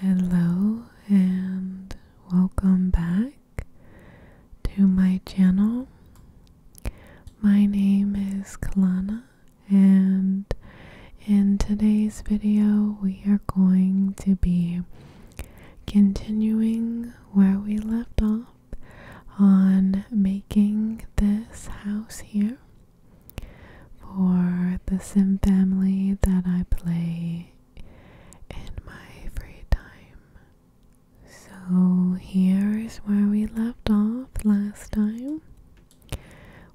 Hello and welcome back to my channel. My name is Kalana and in today's video we are going to be continuing where we left off on making this house here for the sim family that I play in my free time. So here is where we left off last time.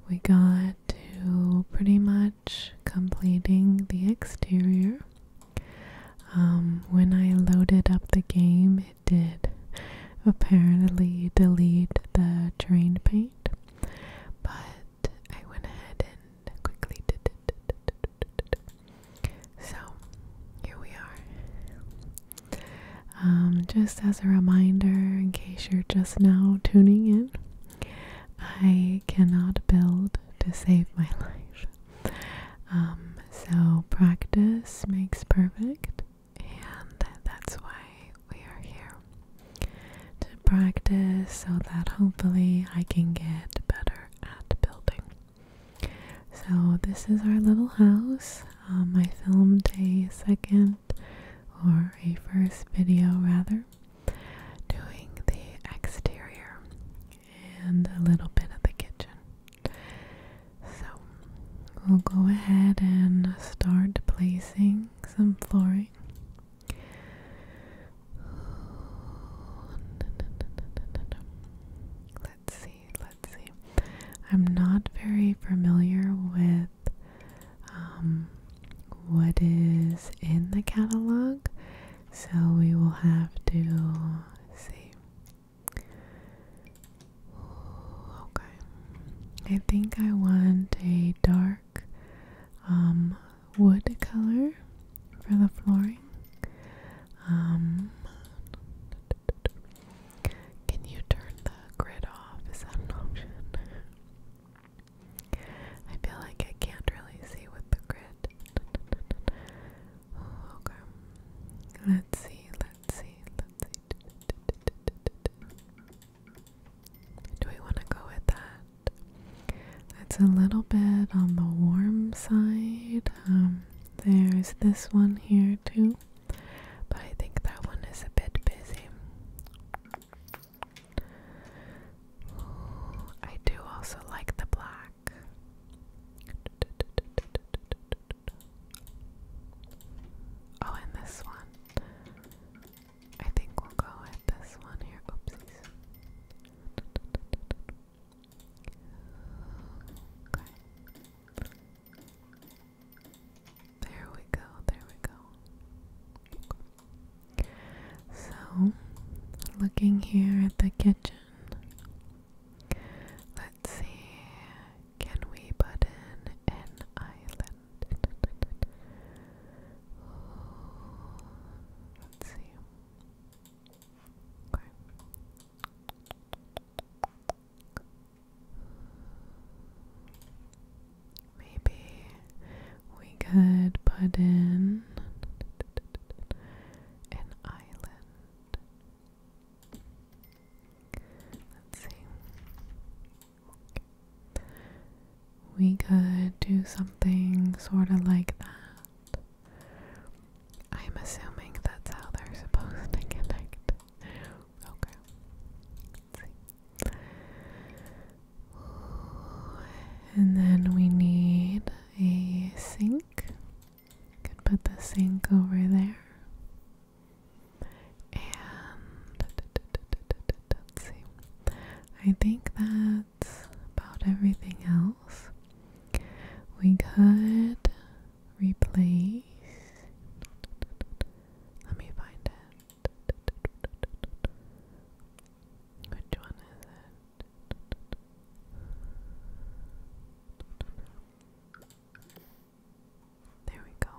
We got to pretty much completing the exterior. Um, when I loaded up the game, it did apparently delete the terrain paint, but I went ahead and quickly did it. So here we are. Um, just as a reminder, in case you're just now tuning in, I cannot build to save my life. Um, so practice makes perfect, and that's why we are here to practice so that hopefully I can get better at building. So, this is our little house. Um, I filmed a second or a first video rather doing the exterior and a little bit of the kitchen. So, we'll go ahead and start placing some flooring. Let's see, let's see. I'm not very familiar with um, what is in the catalog, so we will have to see. Okay. I think I want a dark um, wood color for the flooring. Um, can you turn the grid off? Is that an option? I feel like I can't really see with the grid. okay. Let's see, let's see, let's see. Do we want to go with that? That's a little bit on the warm side. Um, there's this one here too, but I think that one is a bit busy. I do also like the black. Oh, and this one. I think we'll go with this one here. Oopsies. Okay. There we go, there we go. So, looking here at the kitchen, let's see, can we put in an island? Let's see. Maybe we could put in an island. Let's see we could do something sort of like that. I'm assuming that's how they're supposed to connect. Okay. Let's see. And then we need a sink. could put the sink over there. And see. I think that about everything else. We could replace. Let me find it. Which one is it? There we go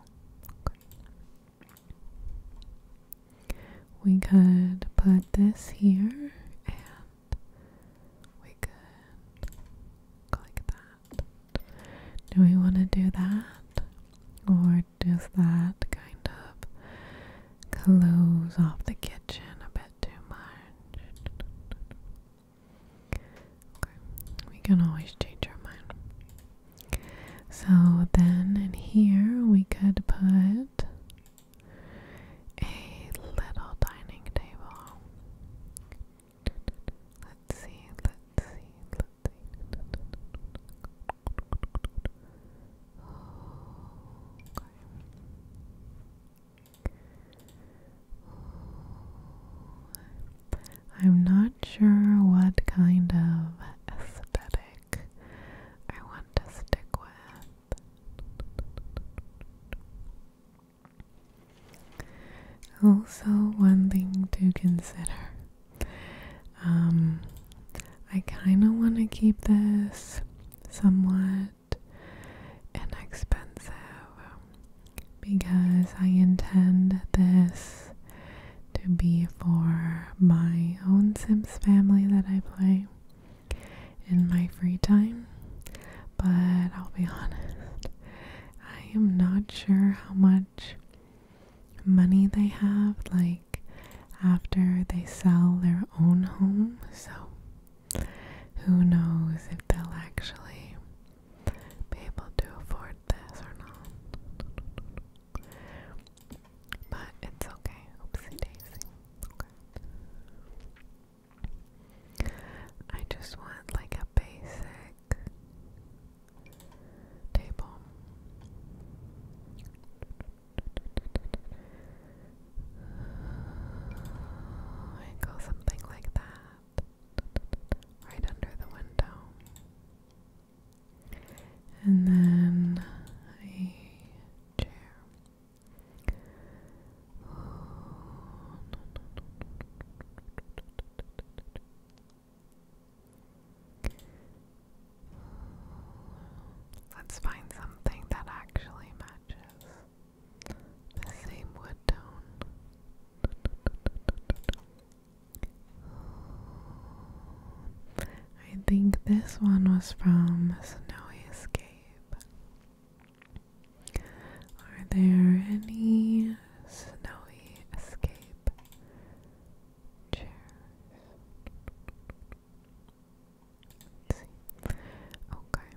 we could put this here and we could click that. Do we want to do that? Or does that kind of close off the kitchen a bit too much? we can always change our mind. So then in here we could put a little dining table. Let's see, let's see, let's see. I'm not sure what kind of aesthetic I want to stick with. Also, one thing to consider um, I kind of want to keep this somewhat inexpensive because I intend this to be for my own Sims family that I play in my free time, but I'll be honest, I am not sure how much money they have, like after they sell their own home, so who knows if they'll actually be able to afford this or not. But it's okay. Oopsie daisy. I just want like a basic table. I go something like that, right under the window. And then a chair. Let's find something that actually matches the same wood tone. I think this one was from Snowy Escape. Are there any snowy escape chairs? Okay.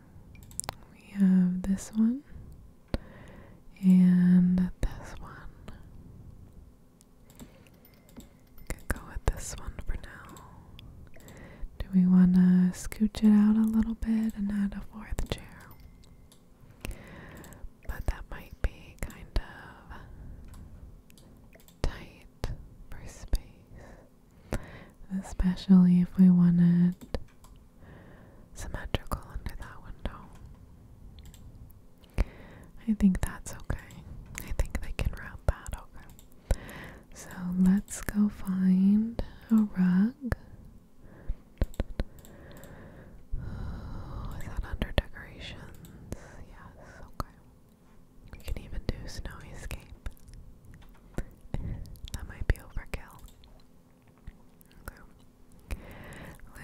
We have this one and this one. I go with this one for now. Do we want to scooch it out a little bit and add a fourth chair? But that might be kind of tight for space, especially if we want it symmetrical under that window. I think that's okay. I think they can wrap that okay. So let's go find a rug. Oh, is that under decorations? Yes, okay. You can even do snow escape. that might be overkill.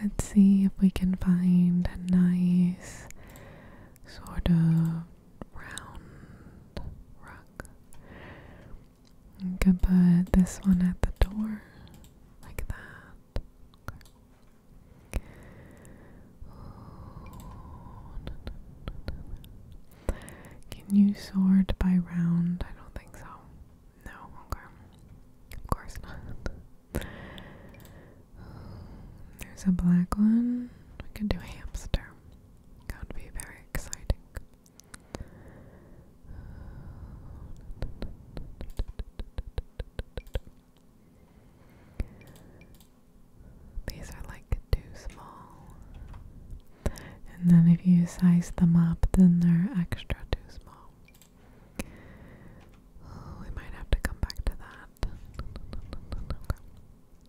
Let's see if we can find a nice sort of round rug lock. You can put this one at the door, like that. Can you sort by round? I don't think so. No, okay. Of course not. There's a black one. We could do hamster. Gonna be very exciting. These are like too small. And then if you size them up, then they're extra too small. we might have to come back to that.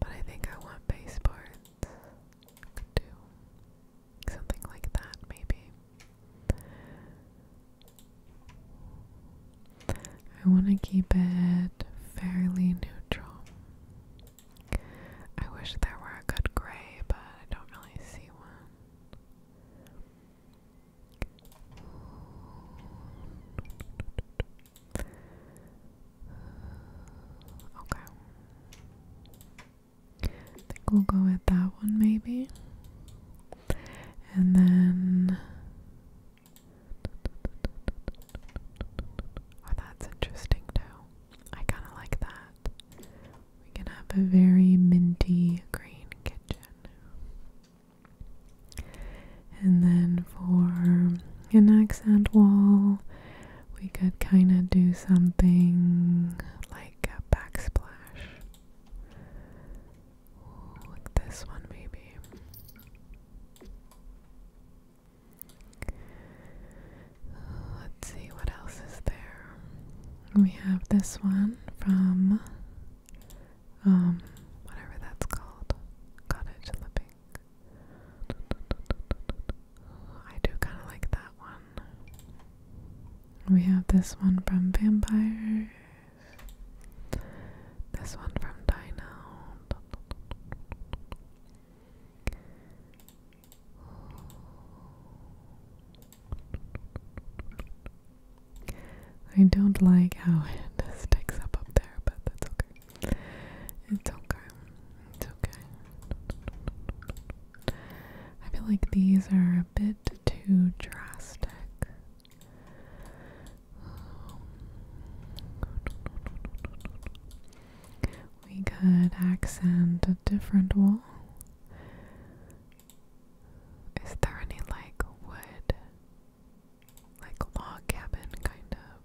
But I think I want bass parts. Could something like that, maybe. I want to keep it fairly neutral. I wish there were a good gray, but I don't really see one. Okay. I think we'll go with that one maybe. And then Oh, that's interesting too. I kind of like that. We can have a very minty green kitchen. And then for an accent wall, we could kind of do something like a backsplash. this one, maybe. Let's see what else is there. We have this one from um, whatever that's called, cottage living. I do kind of like that one. We have this one from Vampires, this one from Dino. I don't like how it sticks up up there, but that's okay. It's okay. It's okay. I feel like these are a bit too drastic. We could accent a different wall. Is there any like wood like log cabin kind of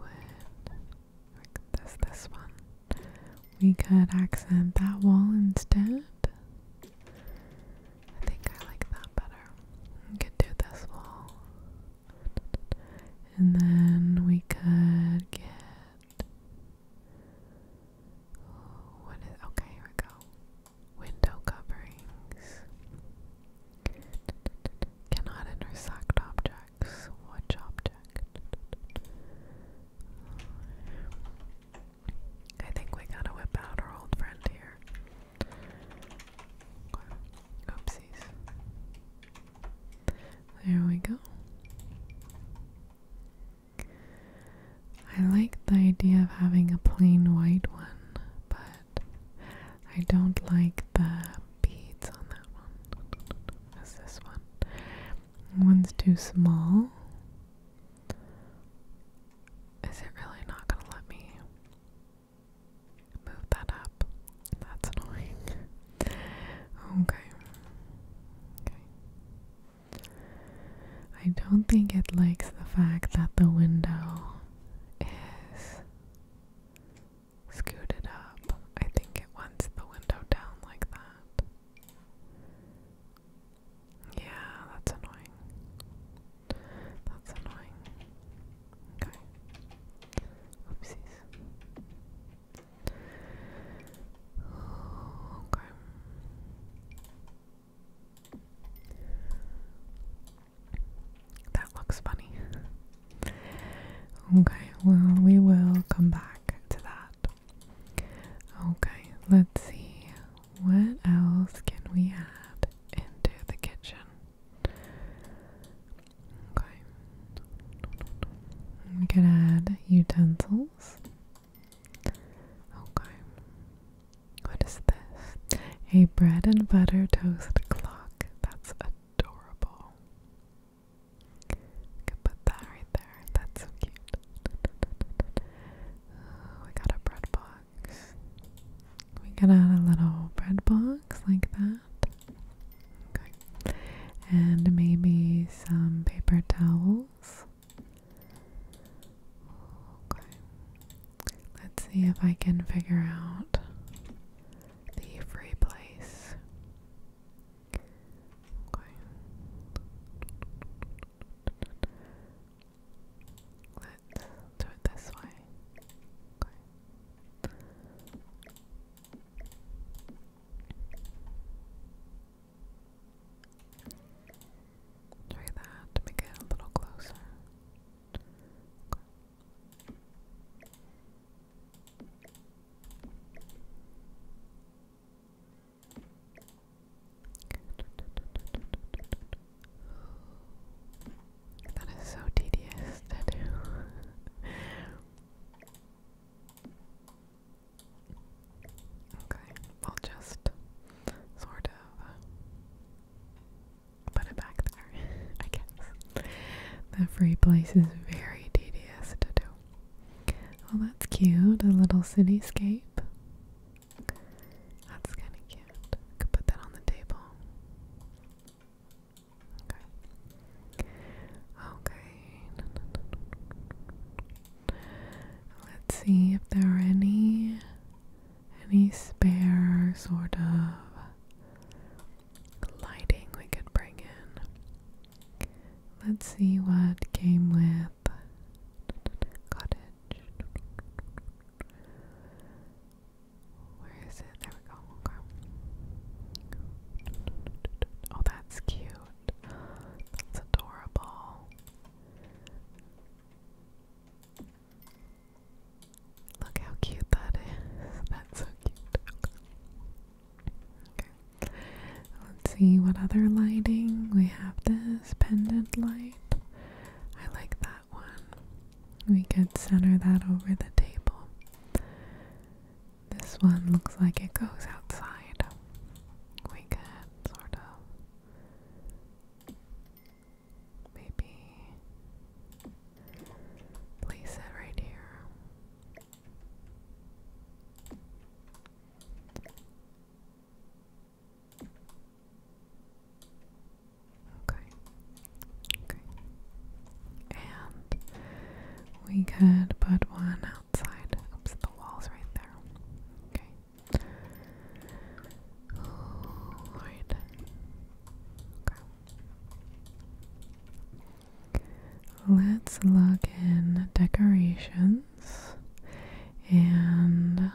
like this this one. We could accent that wall instead. I think I like that better. We could do this wall. And then we could get. what is. Okay, here we go window coverings. Cannot intersect objects. Which object? I think we gotta whip out our old friend here. Oopsies. There we go. I like the idea of having a plain white one, but I don't like the beads on that one. As this one. One's too small. Is it really not gonna let me move that up? That's annoying. okay. Okay. I don't think it likes the fact that the window is scooted up. I think it wants the window down like that. Yeah, that's annoying. That's annoying. Okay. Oopsies. Okay. That looks funny. Okay, well, we will come back to that. Okay, let's see. What else can we add into the kitchen? Okay. We can add utensils. Okay. What is this? A bread and butter toast clock. That's adorable. can put that right there. That's so cute. we got a bread box. We got out a little bread box like that. Okay. And maybe some paper towels. Okay. Let's see if I can figure out the free place. Okay. Let's do it this way. Okay. Try that make it a little closer. That is so tedious to do. okay, I'll just sort of put it back there, I guess. That free place is very tedious to do. Well, that's cute. A little cityscape. That's kind of cute. I could put that on the table. Okay. Okay. Let's see if there are any any spare sort of lighting we could bring in. Let's see what came with cottage. Where is it? There we go. Oh, that's cute. That's adorable. Look how cute that is. That's so cute. Okay. Let's see what other lighting. We have this pendant light. I like that one. We could center that over the table. This one looks like it goes outside. We could sort of Maybe place it right here. Okay. Okay. And we could put one outside. Oops, the wall's right there. Okay. Alright. Okay. Let's look in decorations and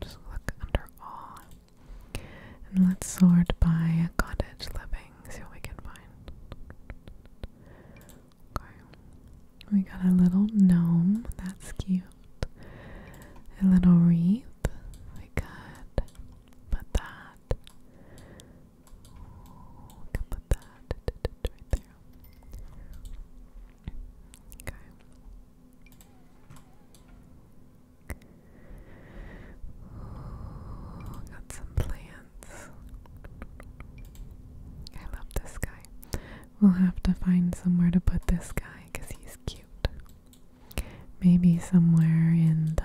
just look under all. And let's sort by cottage living, see we can find. Okay. We got a little gnome, that's cute. A little wreath. We got Put that. put that right there. Okay. got some plants. I love this guy. We'll have to find somewhere to put this guy because he's cute. Maybe somewhere in the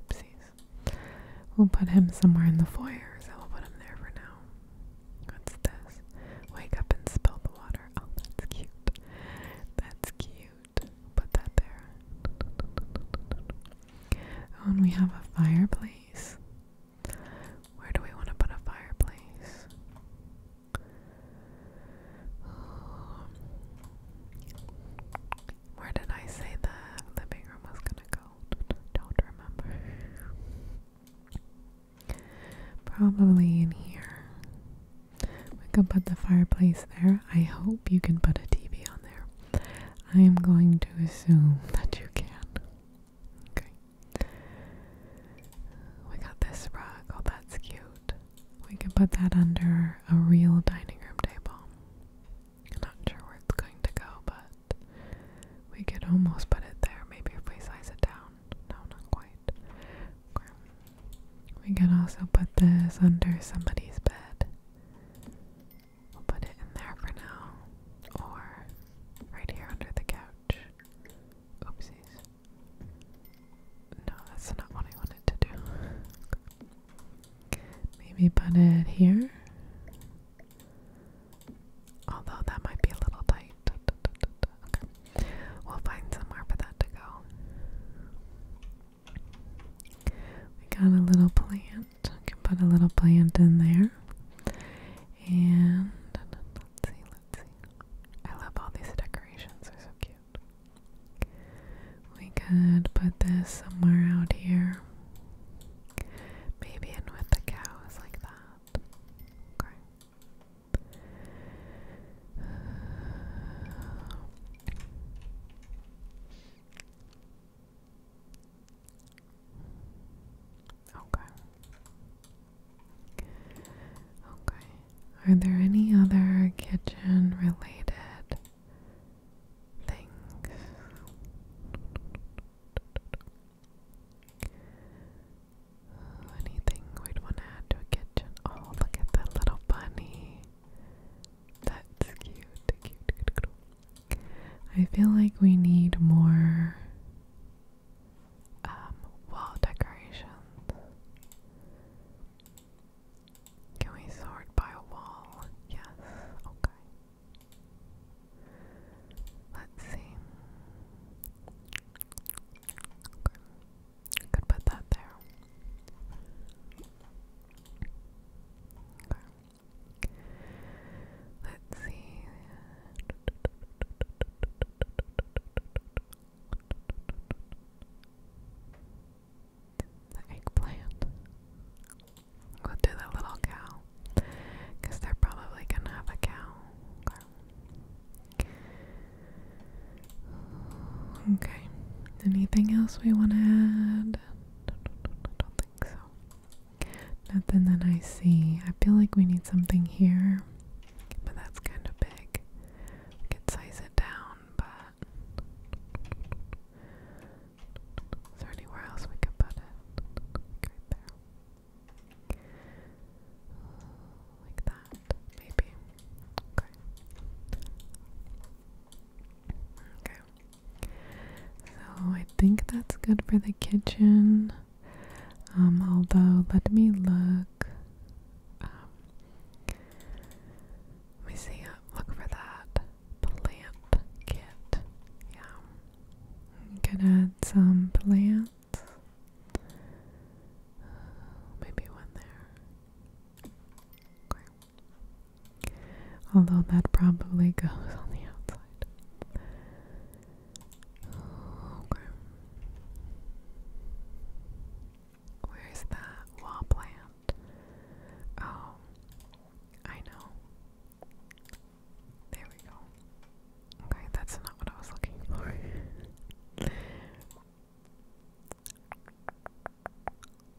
oopsies. We'll put him somewhere in the foyer, so we'll put him there for now. What's this? Wake up and spill the water. Oh, that's cute. That's cute. We'll put that there. Oh, we have a fireplace. Where do we want to put a fireplace? Where did I say the living room was gonna go? Don't remember. Probably in here. We can put the fireplace there. I hope you can put a TV on there. I am going to assume that you can. Okay. We got this rug. Oh, that's cute. We can put that under a real dining room table. not sure where it's going to go, but we could almost put it there. Maybe if we size it down. No, not quite. We can also put this under somebody's bed. We'll put it in there for now. Or right here under the couch. Oopsies. No, that's not what I wanted to do. Maybe put it here. Although that might be a little tight. We'll find somewhere for that to go. We got a little plant. We can put a little plant in there. And let's see, let's see. I love all these decorations, they're so cute. We could put this somewhere out here. Maybe in with the cows like that. Okay. Okay. Okay. Are there any other kitchen related things. anything we'd want to add to a kitchen. Oh, look at that little bunny. That's cute. I feel like we need more um, wall decorations. Can we sort by a wall? Yes, okay. Let's see. Okay. Could put that there. Okay. Let's see the eggplant. We'll do the little cow. Because they're probably going to have a cow. Okay. Anything else we want to add? I don't think so. Nothing that I see. I feel like we need something here, but that's kind of big. We size it down, but is there anywhere else we can put it? right there. Like that, maybe. Okay. Okay. So I think that's good for the kitchen. Um, although let me look. Um, let me see. Uh, look for that plant kit. Yeah. You could add some plants. maybe one there. Although that probably goes on the outside. Where's that wall plant? that. Oh, I know. There we go. Okay, that's not what I was looking for.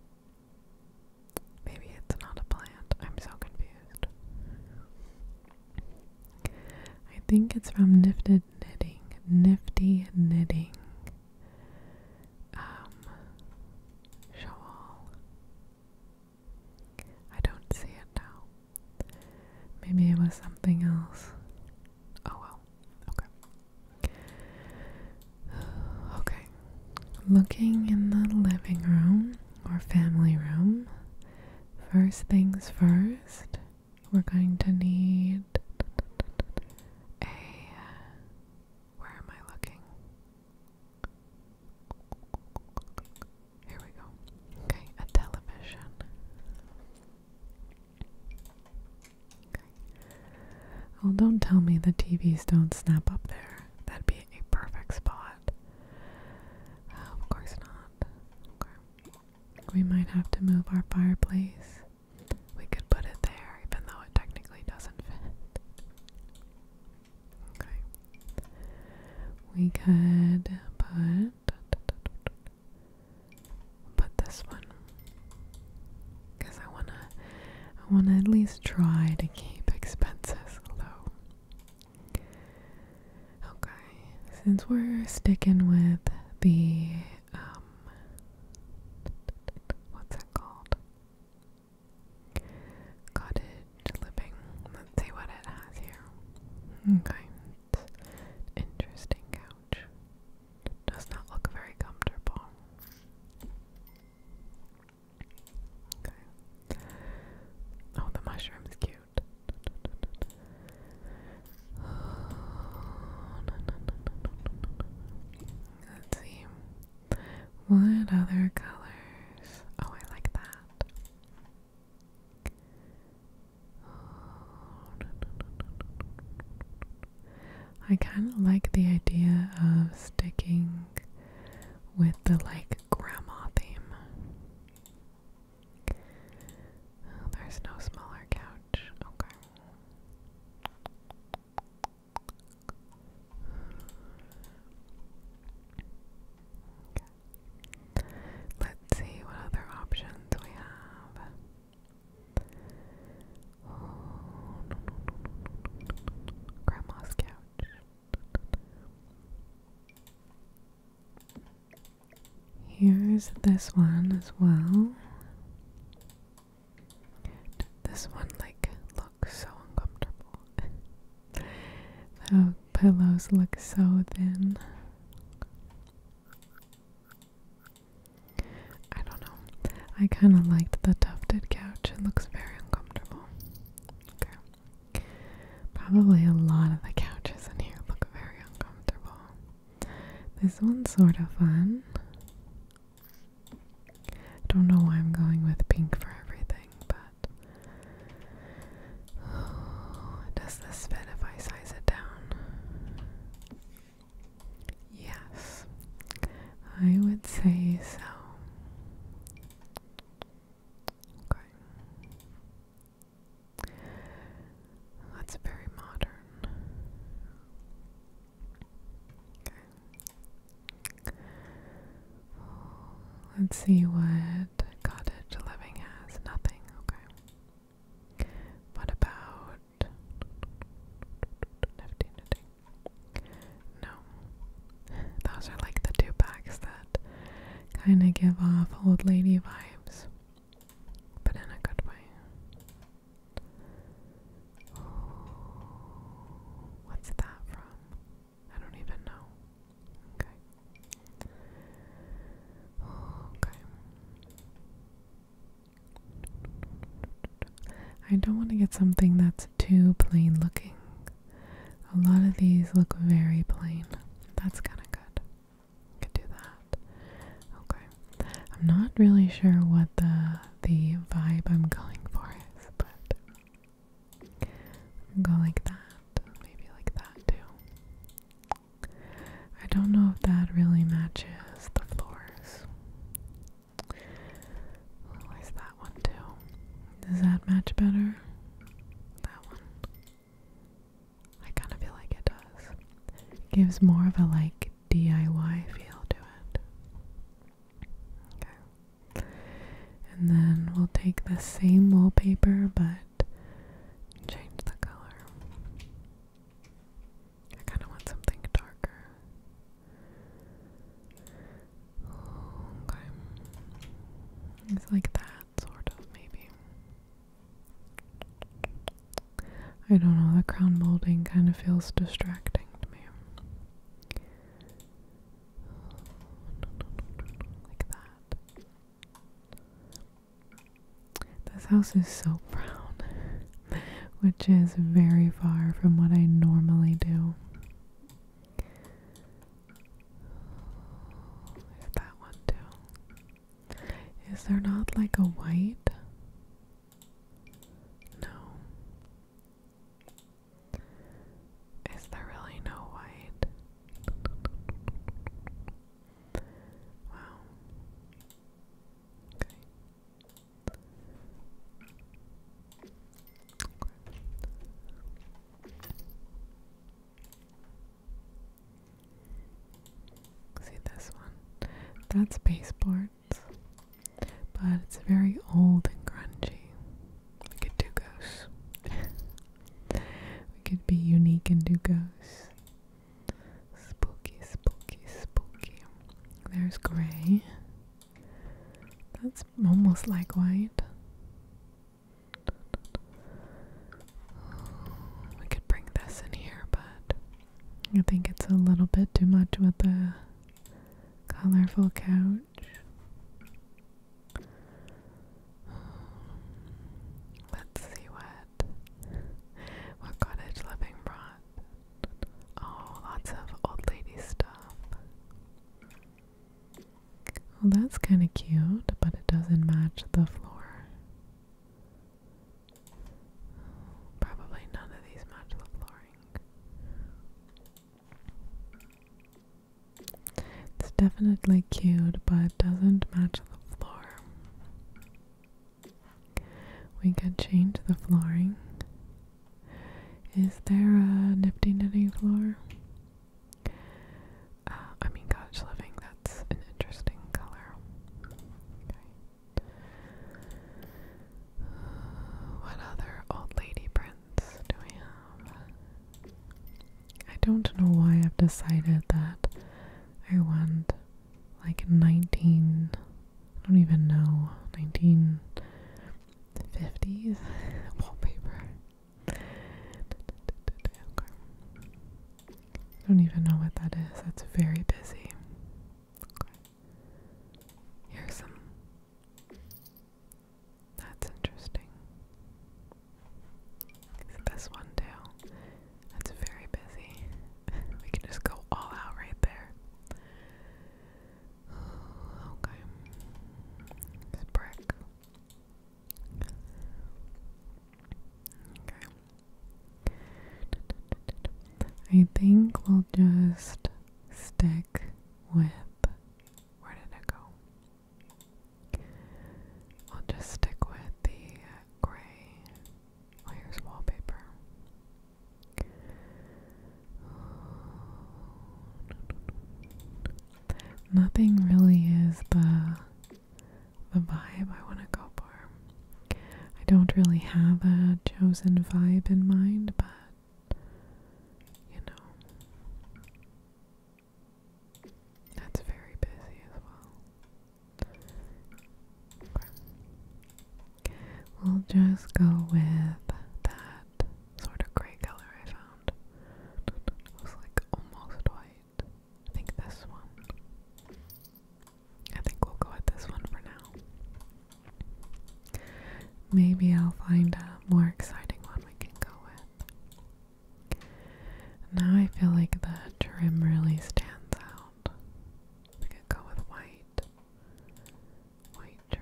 Maybe it's not a plant. I'm so confused. I think it's from Nifted Knitting. Nifty Knitting um, I don't see it now. Maybe it was something else. Oh well. Okay. Okay. Looking in the living room or family room, first things first, we're going to need a. Where am I looking? Here we go. Okay, a television. Well, oh, don't tell me the TVs don't snap up there. That'd be a perfect spot. Oh, of course not. We might have to move our fireplace. We could put it there, even though it technically doesn't fit. Okay. We could put put this one because I wanna I wanna at least try to keep expenses low. Okay, since we're sticking with the um what's it called? Cottage living. Let's see what it has here. Okay. Hmm. interesting couch. Does not look very comfortable. Okay. Oh, the mushroom's cute. Let's see. What other colors? Oh, I like that. I kind of like the idea of sticking with the like grandma theme. Oh, there's no smaller couch. Okay. Let's see what other options we have. Grandma's couch. Here's this one as well. This one like looks so uncomfortable. the pillows look so thin. I don't know. I kind of liked the tufted couch. It looks very uncomfortable. Probably a lot of the couches in here look very uncomfortable. This one's sort of fun. Don't know why I'm going with pink for everything, but does this fit if I size it down? Yes, I would say so. Okay. That's very modern. Okay. Let's see what cottage living has. Nothing, okay. What about nifty knitting? No. Those are like the two that kind of give off old lady vibes, but in a good way. What's that from? I don't even know. Okay. Okay. I don't want to get something that's too plain looking. A lot of these look very plain. That's kind of good. Could do that. Okay. I'm not really sure what the the vibe I'm going for is, but Go like that, maybe like that too. I don't know if that really matches the floors. I'll that one too. Does that match better? That one. I kind of feel like it does. gives more of a like DIY feel to it. Okay. And then we'll take the same wallpaper but change the color. I kind of want something darker. Okay. It's like that, sort of, maybe. I don't know, the crown molding kind of feels distracting to me. Like that. This house is so brown, which is very far from what I normally do. There's that one too. Is there not like a white? No. Is there really no white? Wow. Okay. See this one? That's baseboards, but it's very old and grungy. We could do ghosts. we could be unique and do ghosts. Spooky, spooky, spooky. There's gray. That's almost like white. We could bring this in here, but I think it's a little bit too much with the colorful couch. let's see what what cottage living brought. Oh, lots of old lady stuff. Well, that's kind of cute, but it doesn't match the floor. Probably none of these match the flooring. It's definitely cute, but doesn't match the floor. We could change the flooring. Is there a nifty nifty floor? Uh, I mean, cottage living, that's an interesting color. what other old lady brand do we have? I don't know why I've decided that I want like 19, I don't even know, 1950s wallpaper. I don't even know what that is. That's very busy. Okay. Here's some that's interesting. This one too. That's very busy. we can just go all out right there. okay. brick. Okay. I think we'll just stick with where did it go? I'll just stick with the uh, gray. here's wallpaper. Oh, Nothing really is the the vibe I want to go for. I don't really have a chosen vibe in mind, but you know. That's very busy as well. We'll just go with that sort of gray color I found. It was like almost white. I think this one. I think we'll go with this one for now. Maybe I'll find a more exciting one we can go with. Now I feel like the trim really stands out. We could go with white. White trim.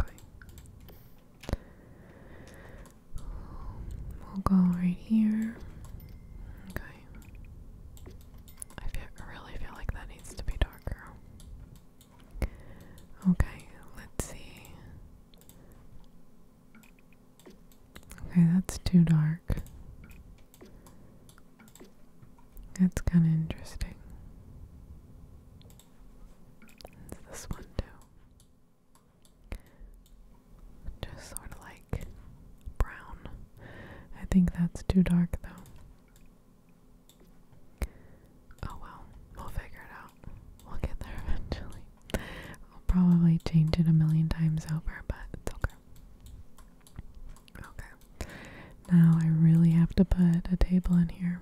Okay. We'll go right here. Okay. I really feel like that needs to be darker. Okay, let's see. Okay, that's too dark. That's kind of interesting. It's this one too. Just sort of like brown. I think that's too dark though. Oh well, we'll figure it out. We'll get there eventually. I'll probably change it a million times over, but it's okay. Okay. Now I really have to put a table in here.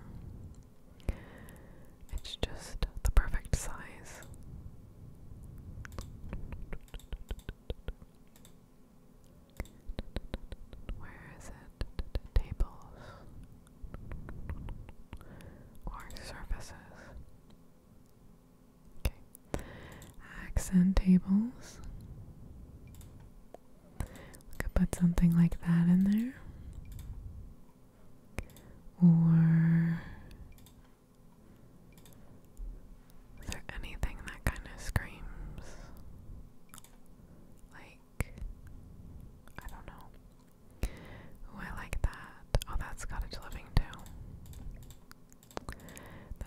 It's just the perfect size. Where is it? Tables or surfaces? Okay. Accent tables. We could put something like that in there. Or is there anything that kind of screams like I don't know. Ooh, I like that. Oh, that's cottage living too.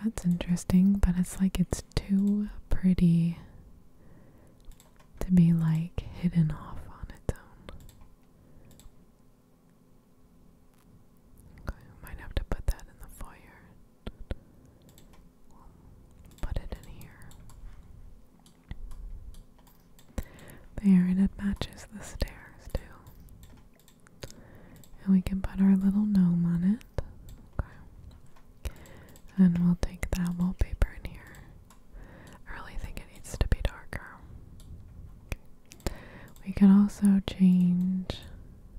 That's interesting, but it's like it's too pretty to be like hidden off on its own. Okay, might have to put that in the foyer. Put it in here. There, and it matches the stairs too. And we can put our little gnome on it. Okay. And we'll take that wallpaper in here. I really think it needs to be darker. We can also change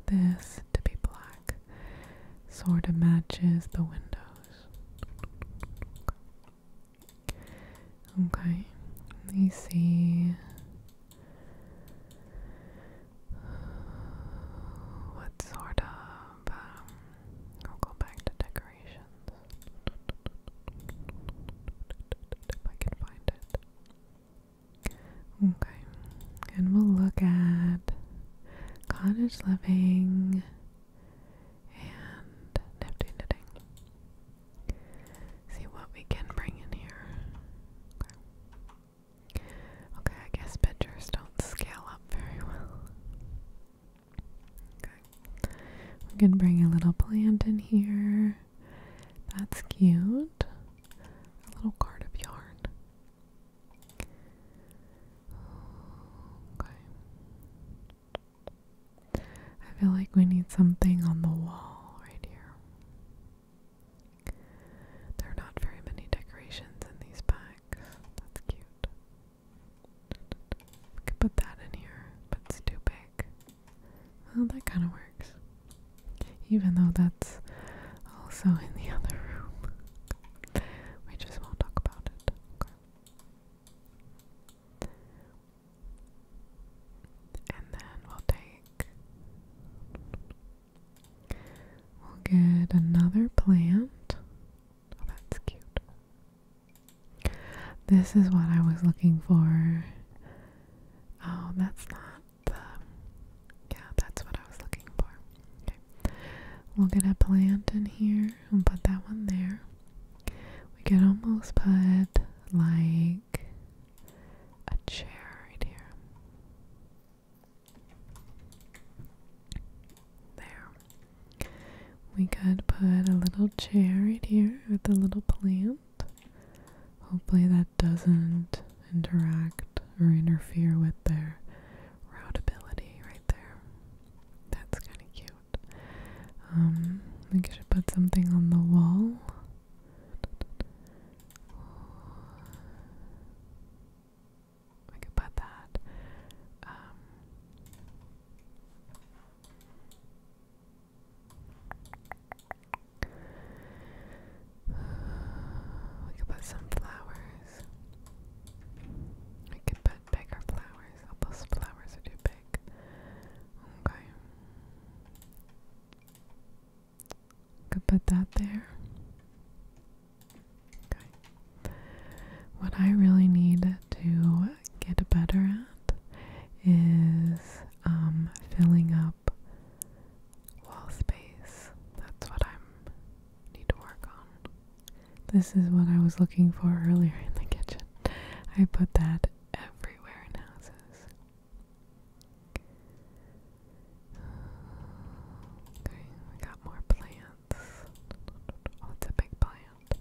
this to be black sort of matches the windows. Okay, let me see. What sort of. Um, I'll go back to decorations. If I can find it. Okay, and we'll look at cottage living and Nifty Knitting. See what we can bring in here. Okay, I guess pictures don't scale up very well. We can bring a little plant in here. That's cute. A little card Okay. I feel like we need something on the wall right here. There are not very many decorations in these packs. That's cute. We could put that in here, but it's too big. Well, that kind of works. Even though that's also in the other room. we just won't talk about it. Okay. And then we'll take we'll get another plant. Oh, that's cute. This is what I was looking for. Oh, that's not the. Um, yeah, that's what I was looking for. We'll get a plant in here and put that one there. We could almost put like a chair right here. There. We could put a little chair right here with a little plant. Hopefully, that doesn't interact or interfere with their routability, Right there. That's kind of cute. Um, I think I should put something on the wall. I could put that. Um, we could put some flowers. I could put bigger flowers. those flowers are too big. Okay. Could put that there. Okay. What I really need to get better at is um, filling up wall space. That's what i need to work on. This is what I was looking for earlier in the kitchen. I put that everywhere in houses. Okay, we got more plants. Oh, a big plant.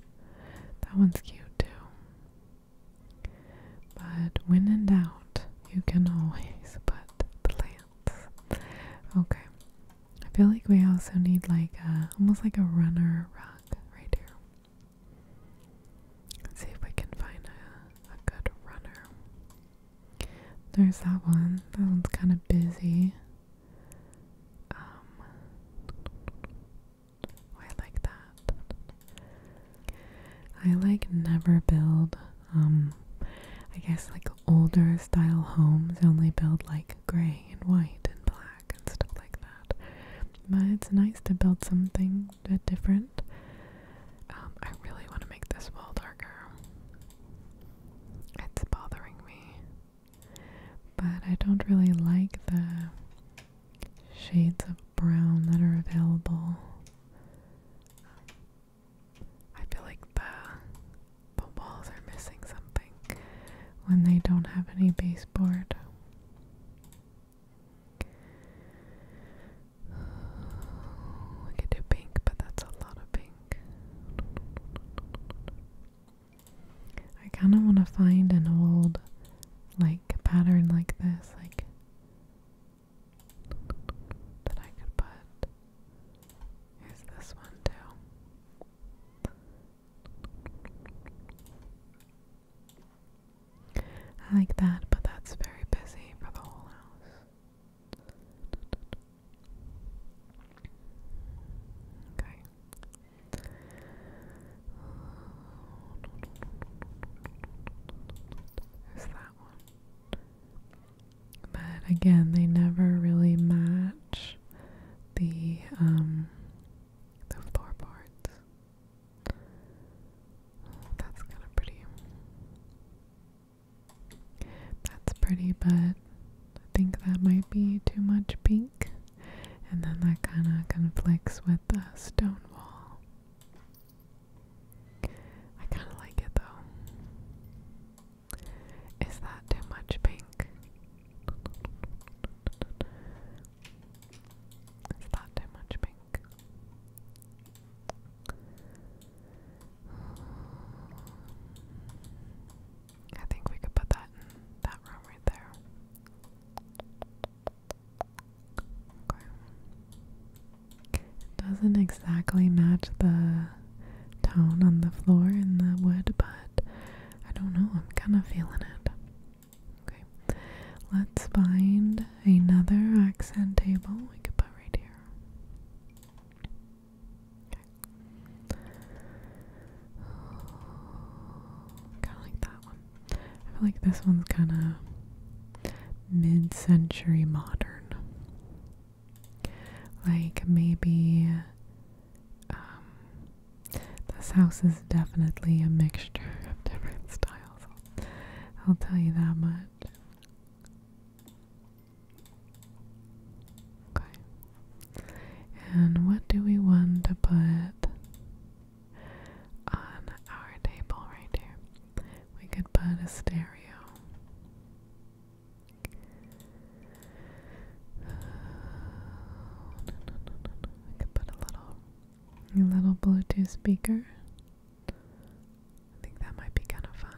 That one's cute too. But when in doubt, you can always put plants. Okay, I feel like we also need like a, uh, almost like a runner rug right here. Let's see if we can find a, good runner. There's that one. That one's kind of busy. Um, oh, I like that. I like never build, um, I guess like older style homes only build like gray and white and black and stuff like that. But it's nice to build something bit different. Um, I really want to make this wall darker. It's bothering me. But I don't really like the shades of brown that are available. I feel like the the walls are missing something when they don't have any baseboard. We could do pink, but that's a lot of pink. I kind of want to find an old, like, pattern like this, like, that I could put. Here's this one, too. I like that, but that's very busy for the whole house. Okay. There's that one. But again, they never really match the um the floorboards. that's kind of pretty. That's pretty, but I think that might be too much pink. And then that kind of conflicts with the stone wall. I kind of like it though. Is that too much pink? Is that too much pink? I think we could put that that room right there. doesn't exactly match the tone on the floor in the wood, but I don't know, I'm kind of feeling it. Okay, let's find another accent table we could put right here. Okay. Kind of like that one. I feel like this one's kind of mid century modern. Like maybe um, this house is definitely a mixture of different styles. I'll tell you that much. Okay. And what do we want to put on our table right here? We could put a stereo. Uh, could put a little, a little Bluetooth speaker. I think that might be kind of fun.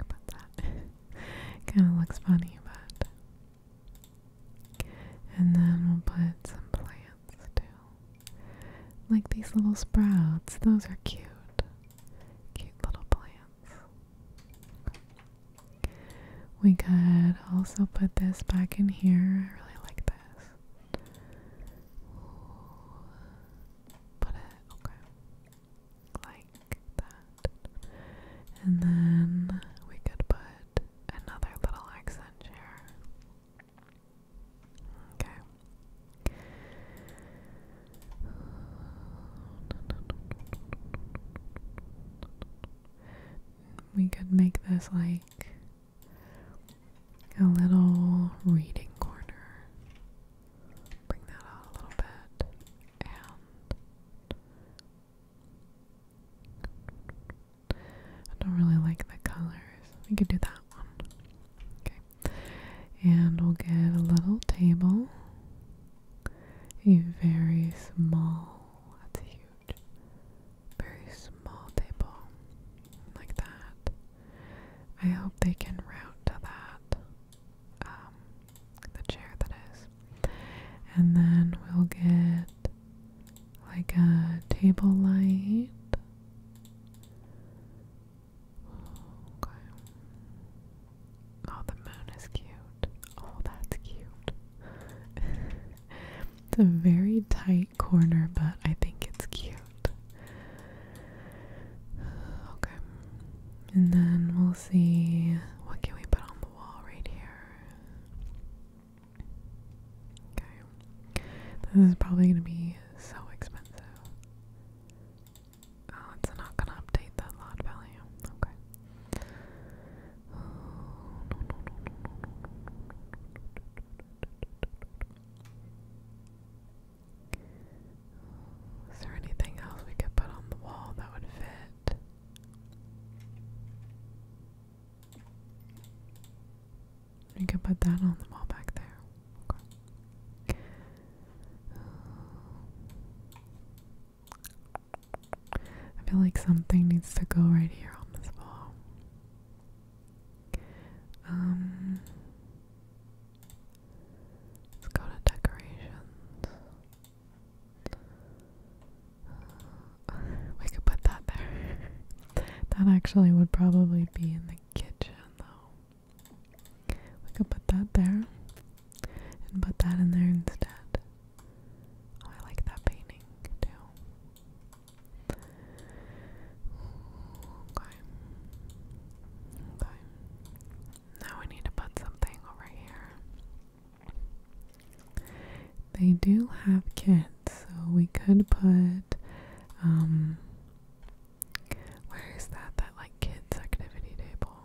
About that, kind of looks funny, but. And then we'll put some plants too, like these little sprouts. Those are cute, cute little plants. We could also put this back in here. I really like this. Put it, okay. Like that. And then we could put another little accent here. Okay. We could make this like a little reading corner. Bring that out a little bit I don't really like the colors. We could do that one. Okay. And we'll get a little table a very small, that's huge, very small table like that. I hope they can route to that, um, the chair that is. And then we'll get like a table light. Okay. Oh, the moon is cute. Oh, that's cute. it's a very tight corner, but I think it's cute. Okay. And then we'll see what can we put on the wall right here. Okay. This is probably going to be so expensive. Oh, it's not gonna update that lot value. Okay. Oh, no, no, no, no, no, no, no. Is there anything else we could put on the wall that would fit? We could put that on the wall back there. Okay. I feel like something needs to go right here on this wall. Um, let's go to decorations. Uh, we could put that there. that actually would probably be in the kitchen, though. We could put that there and put that in there instead. Oh, I like that painting too. Okay. Okay. Now we need to put something over here. They do have kids, so we could put um, where is that that like kids activity table?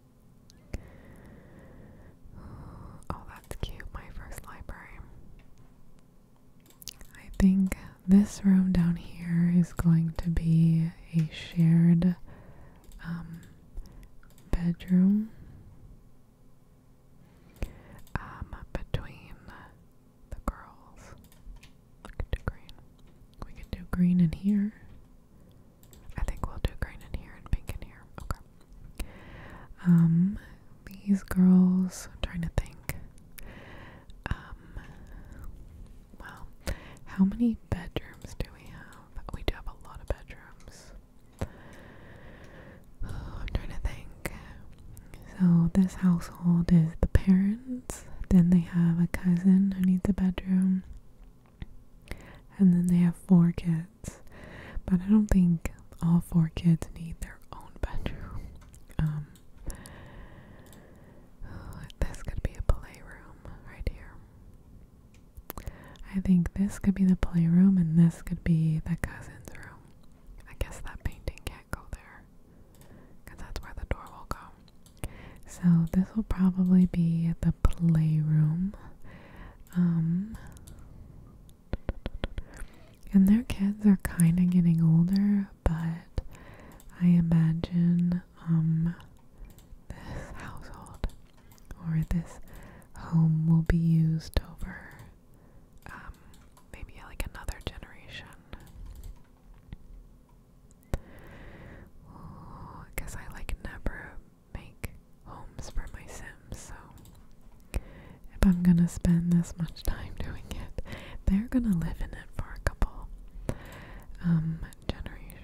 Oh, that's cute. My first library. I think this room down here is going to be a shared um, bedroom um, between the girls. We could do green. We could do green in here. I think we'll do green in here and pink in here. Okay. Um, these girls, I'm trying to think. Um, well, how many bedrooms do we have? We do have a lot of bedrooms. I'm trying to think. So, this household is the parents, then they have a cousin who needs a bedroom. And then they have four kids. But I don't think all four kids need their own bedroom. Um, this could be a playroom right here. I think this could be the playroom and this could be the cousin's room. I guess that painting can't go there because that's where the door will go. So this will probably be the playroom um, and their kids are kind of getting older, but I imagine um, this household or this home will be used over um, maybe like another generation. guess I like never make homes for my Sims, so if I'm gonna spend this much time doing it, they're gonna live in it for a couple um, generations.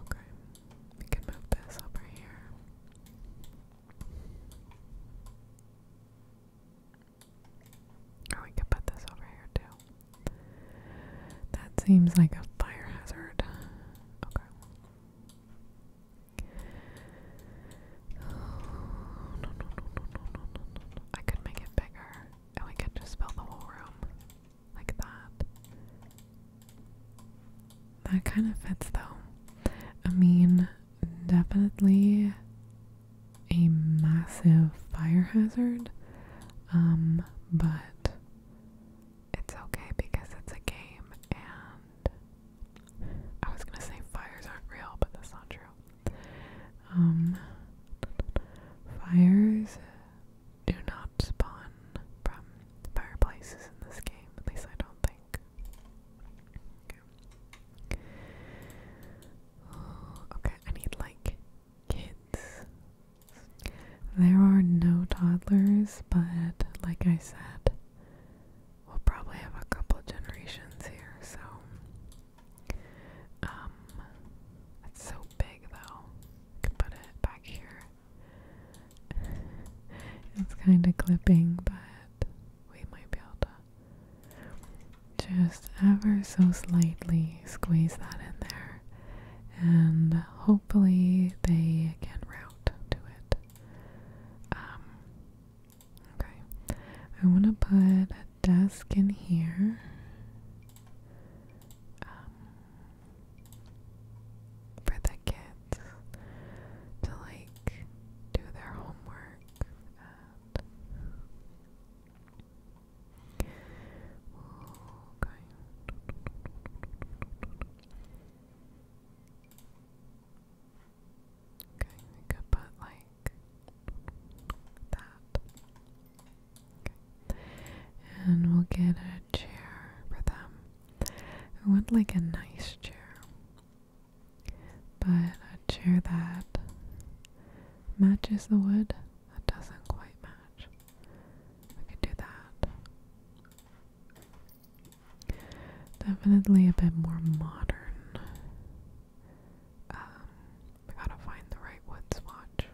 okay. We can move this over here. Oh, we could put this over here too. That seems like a fire hazard. Okay. no, no, no, no, no, no, no, no. I could make it bigger and we could just fill the whole room like that. That kind of fits though. I mean, definitely a massive fire hazard, um, but it's okay because it's a game and I was gonna say fires aren't real, but that's not true. Um, fires do not spawn from fireplaces in this game, at least I don't think. Oh, okay, I need like kids. There are no toddlers, but like I said, we'll probably have a couple of generations here, so. Um, it's so big though. can put it back here. it's kind of clipping, but we might be able to just ever so slightly squeeze that in there, and hopefully they can route to it. Um, okay, I want to put a desk in here. Um, for the kids to like do their homework, uh, that. Okay. Okay, we could put like that. Okay. And we'll get a chair for them. I want like a nice chair. But a chair that matches the wood, that doesn't quite match. We could do that. Definitely a bit more modern. Um, gotta find the right wood swatch.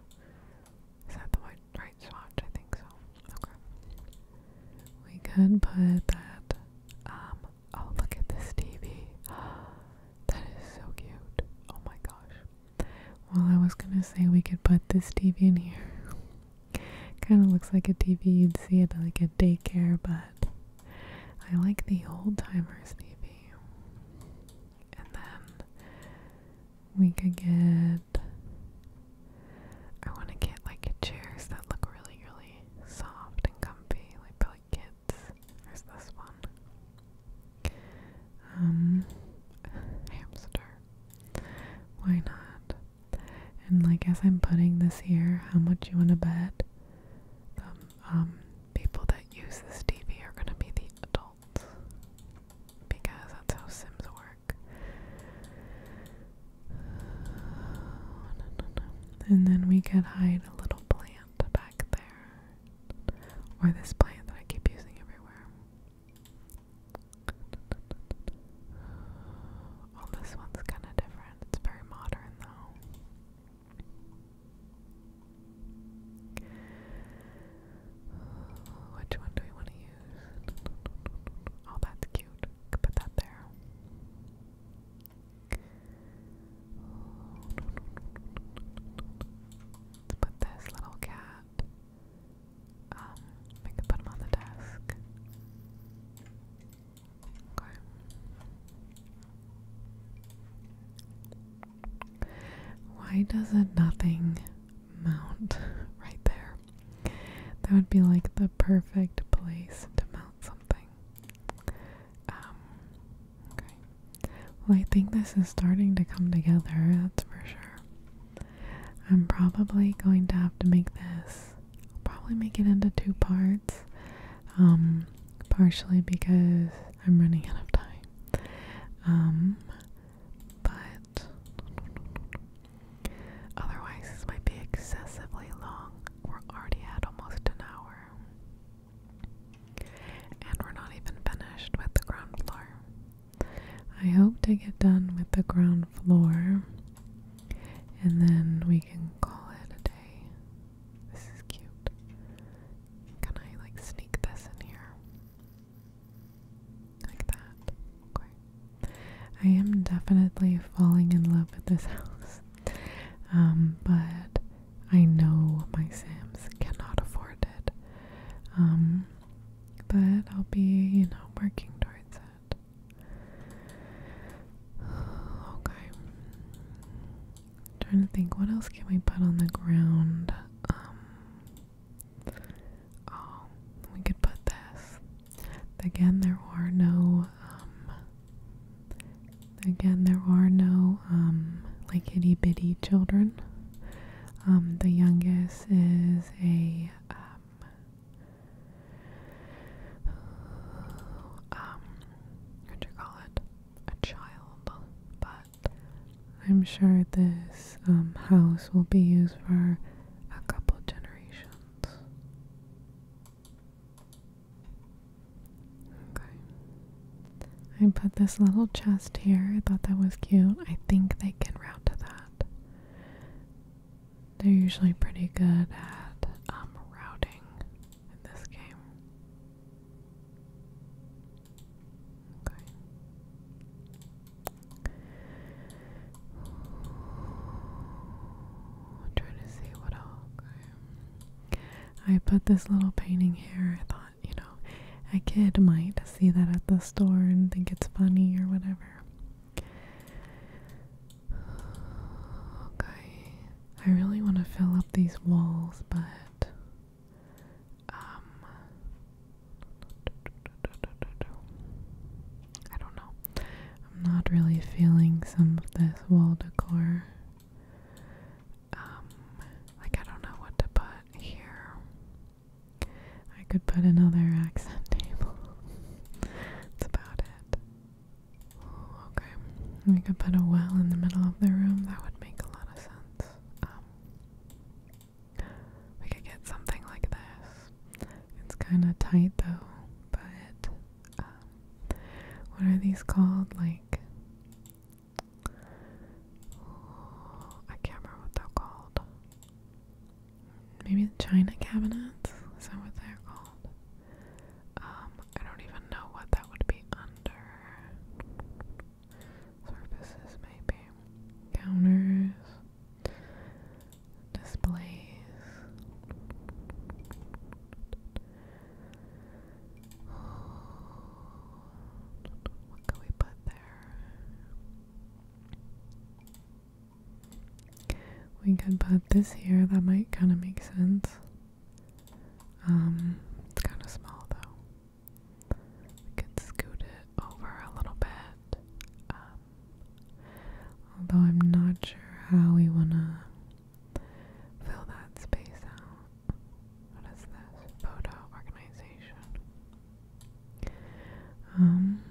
Is that the right swatch? I think so. Okay. We could put that um, Oh, look at this TV. That is so cute. Oh my gosh. Well, I was gonna say we could put this TV in here. kind of looks like a TV you'd see at like a daycare, but I like the old timers TV. And then we could get. I want to get like chairs that look really, really soft and comfy, like, but like kids it. this one? Um, hamster. Why not? And like as I'm putting this here, how much you wanna bet? The um, um people that use this TV are gonna be the adults because that's how Sims work. And then we could hide a little plant back there. Or this plant that I keep using everywhere. Well, this one's kind of different. It's very modern, though. Which one do we want to use? Oh, that's cute. Put that there. Let's put this little cat. Um, we can put him on the desk. Okay. Why doesn't nothing mount right there? That would be like the perfect place to mount something. Um, well, I think this is starting to come together, that's for sure. I'm probably going to have to make this, probably make it into two parts, um, partially because I'm running out of time. Um, but otherwise, this might be excessively long. We're already at almost an hour. And we're not even finished with the ground floor. I hope to get done with the ground floor and then we can call it a day. This is cute. Can I like sneak this in here? Like that. Okay. I am definitely falling in love with this house. Um, but I know my Sims cannot afford it. Um, but I'll be, you know, working towards it. Okay. Trying to think, what else can we put on the ground? Um, oh, we could put this. Again, there are no um, Again, there are no um, like itty bitty children. Um, the youngest is a um, what do you call it? A child, but I'm sure this house will be used for a couple generations. Okay. I put this little chest here. I thought that was cute. I think they can route to that. They're usually pretty good at um, routing in this game. Okay. trying to see what else. I put this little painting here. I thought you know. A kid might see that at the store and think it's funny or whatever. Okay. I really want to fill up these walls, but um, I don't know. I'm not really feeling some of this wall decor. Um, like I don't know what to put here. I could put another accent table. That's about it. okay. We could put a well in the middle of the room. That would make a lot of sense. Um, we could get something like this. It's kind of tight though, but um, what are these called? Like I can't remember what they're called. Maybe china cabinets? Is that what they're called? Um, I don't even know what that would be under. Surfaces, maybe. Counters. Displays. What can we put there? We could put this here, that might kind of make sense. Um, it's kind of small though. We could scoot it over a little bit. Um, although I'm not sure how we want to fill that space out. What is this? Boda organization. Um,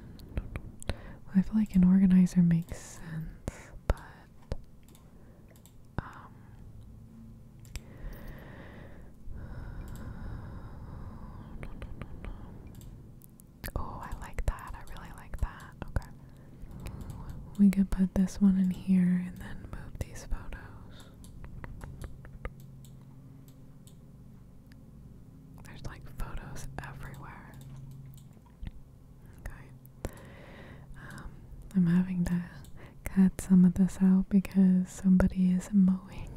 I feel like an organizer makes sense, but um, Oh, I like that. I really like that. Okay. We could put this one in here and then move these photos. There's like photos everywhere. Okay. Um, I'm having to cut some of this out because somebody is mowing.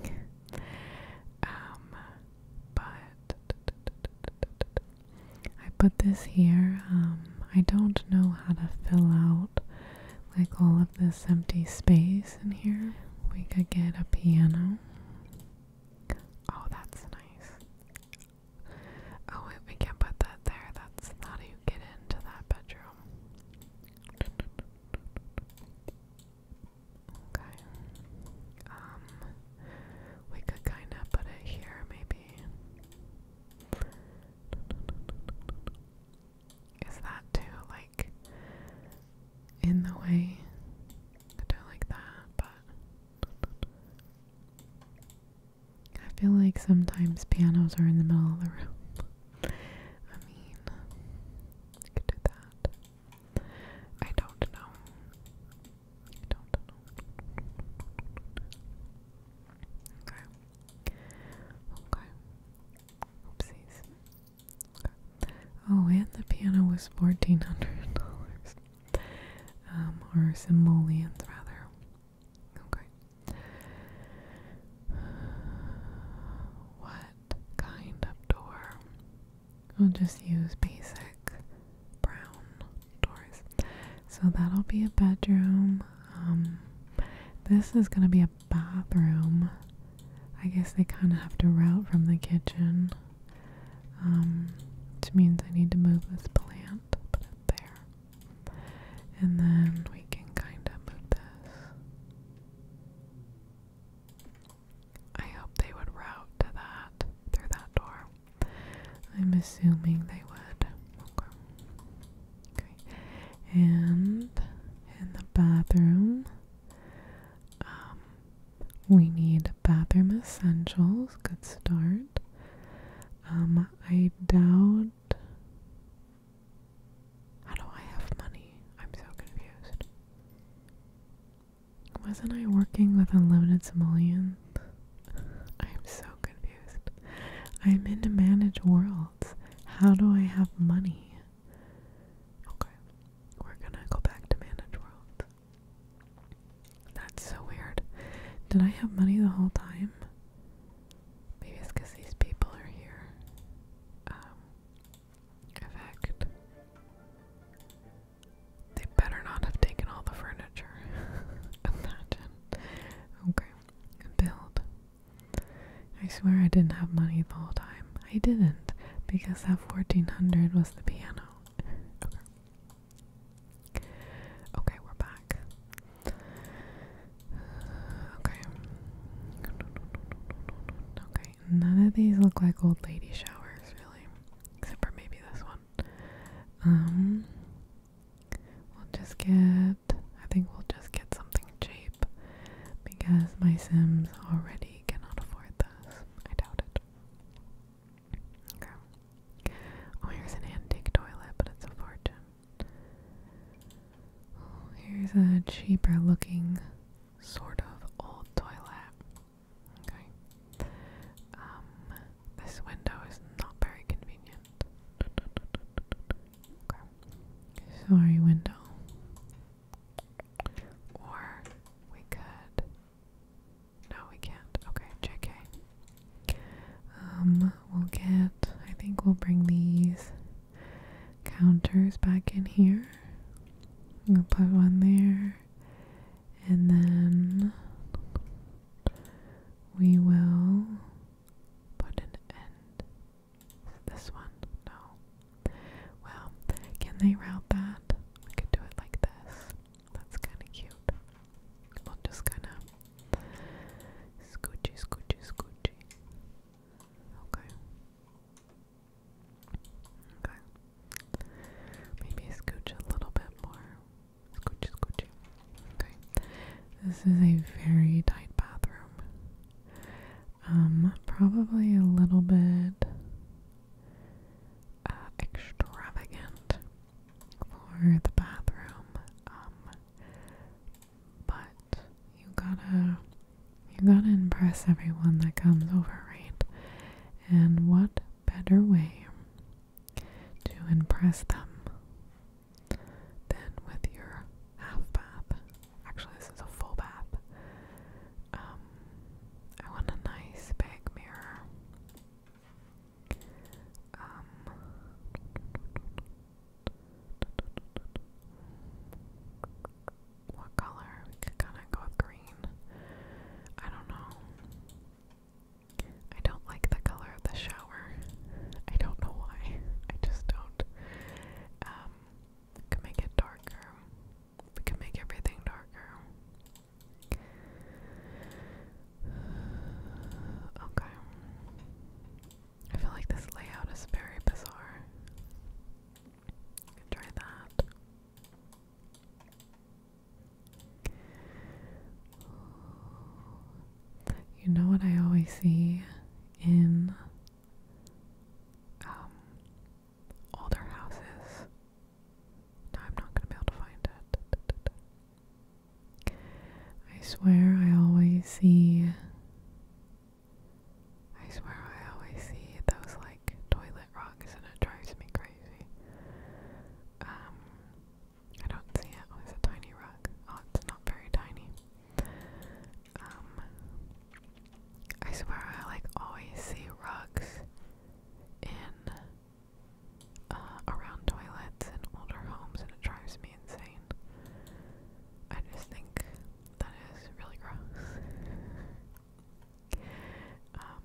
Um, but I put this here. Um, I don't know how to fill out like all of this empty space in here. We could get a piano. Oh, that's nice. Oh, wait, we can't put that there. That's not how you get into that bedroom. Okay. Um, we could kind of put it here, maybe. Is that too, like, in the way. I don't like that, but I feel like sometimes pianos are in the middle of the room. I mean, could do that. I don't know. I don't know. Okay. Okay. Oopsies. Oh, and the piano was fourteen hundred dollars. Um, or simoleons rather. Okay. What kind of door? We'll just use basic brown doors. So that'll be a bedroom. Um, this is gonna be a bathroom. I guess they kind of have to route from the kitchen, um, which means I need to move this plant, put it there, and then we can kind of move this. I hope they would route to that through that door. I'm assuming they would. And in the bathroom, um, we need bathroom essentials. Good start. Um, I doubt. How do I have money? I'm so confused. Wasn't I working with unlimited simoleons? I'm so confused. I'm in a managed worlds. How do I have money? Okay. We're gonna go back to Manage World. That's so weird. Did I have money the whole time? Maybe it's because these people are here. Um, effect. They better not have taken all the furniture. Imagine. Okay. Build. I swear I didn't have money the whole time. I didn't because that 1400 was the piano. okay. we're back. Okay. Okay, none of these look like old lady showers, really. Except for maybe this one. Um, we'll just get, I think we'll just get something cheap because my Sims already cannot afford this. I doubt it. Oh, here's an antique toilet, but it's a fortune. Oh, here's a cheaper looking sort of old toilet. Okay. Um, this window is not very convenient. Okay. Sorry, window. Or we could. No, we can't. Okay, JK. Um, we'll get. I think we'll bring these counters back in here. We'll put one there. And then we will put an end this one? No. Well, can they route that? We could do it like this. That's kind of cute. We'll just kind of scoochy, scoochy, scoochy. Okay. Okay. Maybe scooch a little bit more. Scoochy, scoochy. Okay. This is a very tight bathroom. Um, probably a little bit uh, extravagant for the bathroom. Um, but you gotta you gotta impress everyone that comes over, right? And what better way to impress them than with your half bath? Actually, this is a full bath. Um, I want a nice big mirror. Um, what color? We could kind of go with green. I don't know. I don't like the color of the shower. I don't know why. I just don't. Um, we can make it darker. We can make everything darker. Okay. I feel like this layout is very bizarre. Try that. You know what I always see in um, all houses. Now I'm not going to be able to find it. I swear I always see. I swear I always see those like toilet rocks and it drives me crazy. Um, I don't see it. Oh, a tiny rug. Oh, it's not very tiny. Um, I swear I like always see rugs in uh, around toilets in older homes and it drives me insane. I just think that is really gross. um,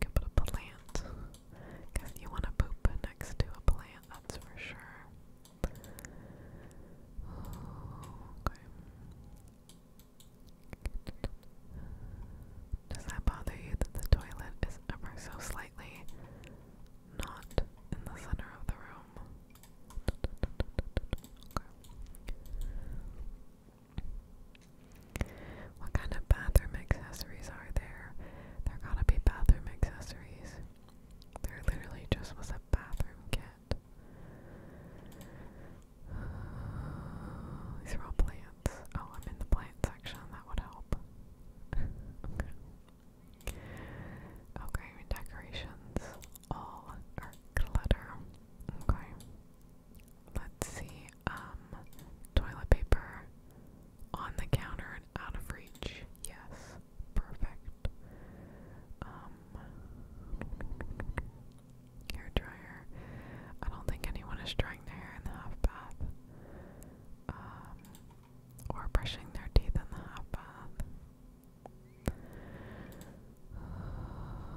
can put a plant you want to poop next to a plant, that's for sure. okay. Does that bother you that the toilet is ever so slightly not in the center of the room? What kind of bathroom accessories are there? There gotta be bathroom accessories. There literally just was a bathroom kit. These are all plants. Oh, I'm in the plant section. That would help. okay. decorations all clutter. Okay. Let's see. Um, toilet paper on the counter and out of reach. Yes. Perfect. Um, hair dryer. I don't think anyone is drying their hair in the hot bath. Um, or brushing their teeth in the hot bath.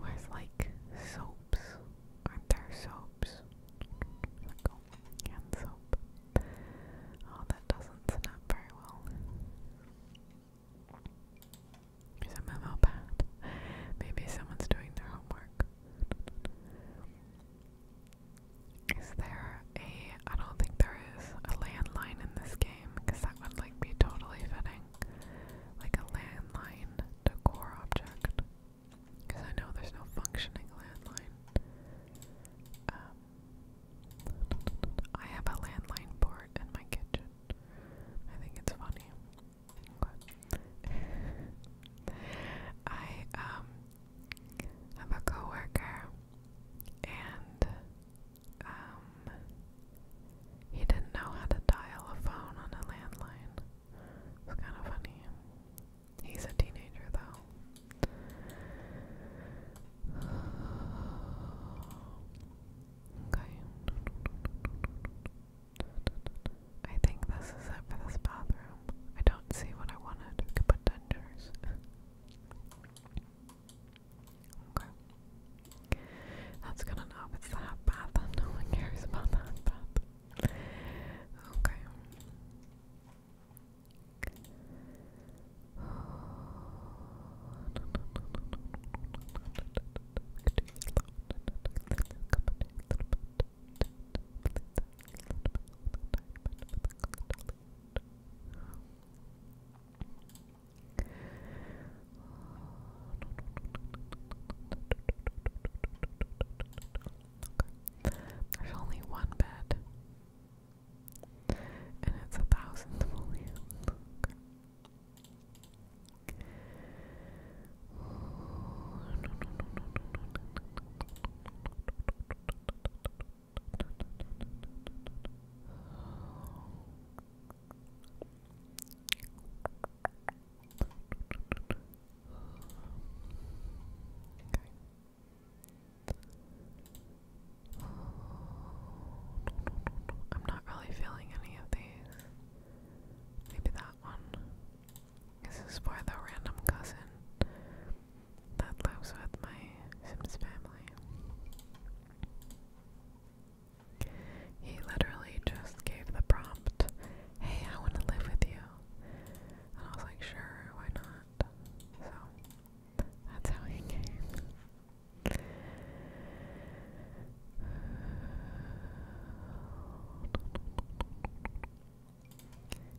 where's like soaps? are there soaps? Oh, hand soap. Oh, that doesn't snap very well. Here's a memo Maybe someone's doing their homework. Is there a. I don't think there is a landline in this game because that would like be totally fitting. Like a landline decor object. Because I know there's no functioning landline. Um, I have a landline port in my kitchen. I think it's funny. I um have a coworker and um he didn't know how to dial a phone on a landline. It's kind of funny. He's a teenager though. Okay. I think this is it for this bathroom. I don't see what I wanted. put dentures. okay. That's good enough. It's the half no one cares about the Okay. There's only one bed, and it's a thousand I'm not really feeling any of these. Maybe that one. This is for the random cousin that lives with my Sims family. He literally just gave the prompt, hey, I want to live with you. And I was like, sure, why not? So, that's how he came.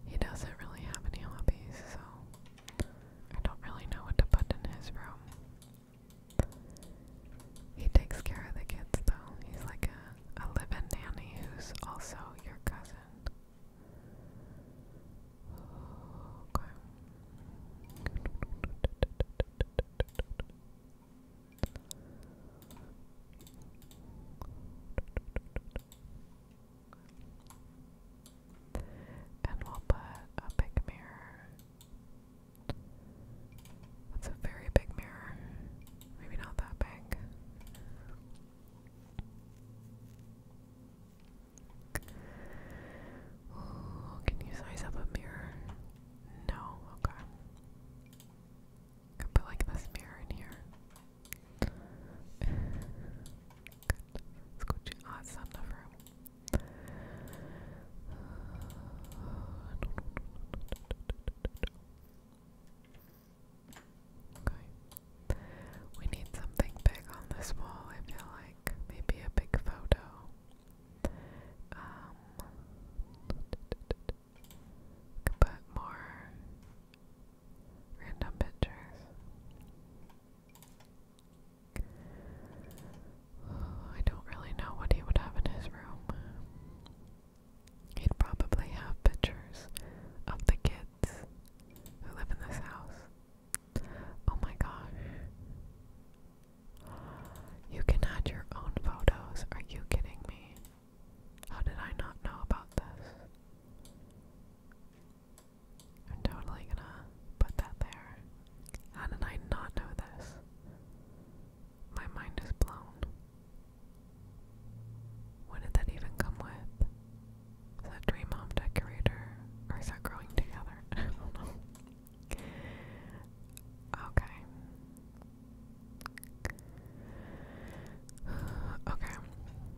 He doesn't really have any hobbies, so I don't really know what to put in his room. He takes care of the kids, though. He's like a, a live nanny who's also your cousin. Okay. And we'll put a big mirror. That's a very big mirror. Maybe not that big. can you size up a mirror? No, okay. Could put like this mirror in here. Good. Let's go to oh, it's not enough room. Okay. We need something big on this wall, I feel like. Maybe a big photo. Um, more random pictures. I don't really know what he would have in his room. He'd probably have pictures of the kids who live in this house. Oh my gosh. You can add your own photos. Are you kidding me? How did I not know about this? I'm totally gonna put that there. How did I not know this? My mind is blown. What did that even come with? Is that Dream Home Decorator? Or is that growing together? Okay. Okay.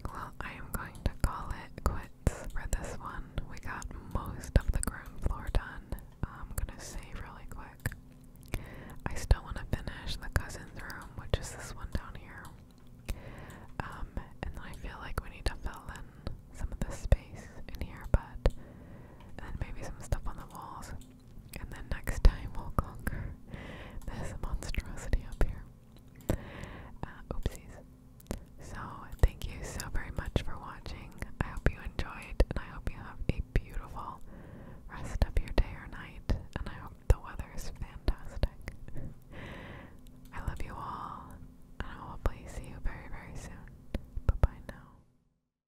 Well, I am going to call it quits for this one. We got most of the ground floor done. I'm gonna save really quick. I still want to finish the cousin's room, which is this one down here. Um, and I feel like we need to fill in some of the space in here, but then maybe some stuff on the walls. And then next time we'll conquer this monstrosity up here. Uh, oopsies. So, thank you so very much for watching. I hope you enjoyed, and I hope you have a beautiful rest of your day or night. And I hope the weather is fantastic. I love you all, and I will hopefully see you very, very soon. Bye bye now.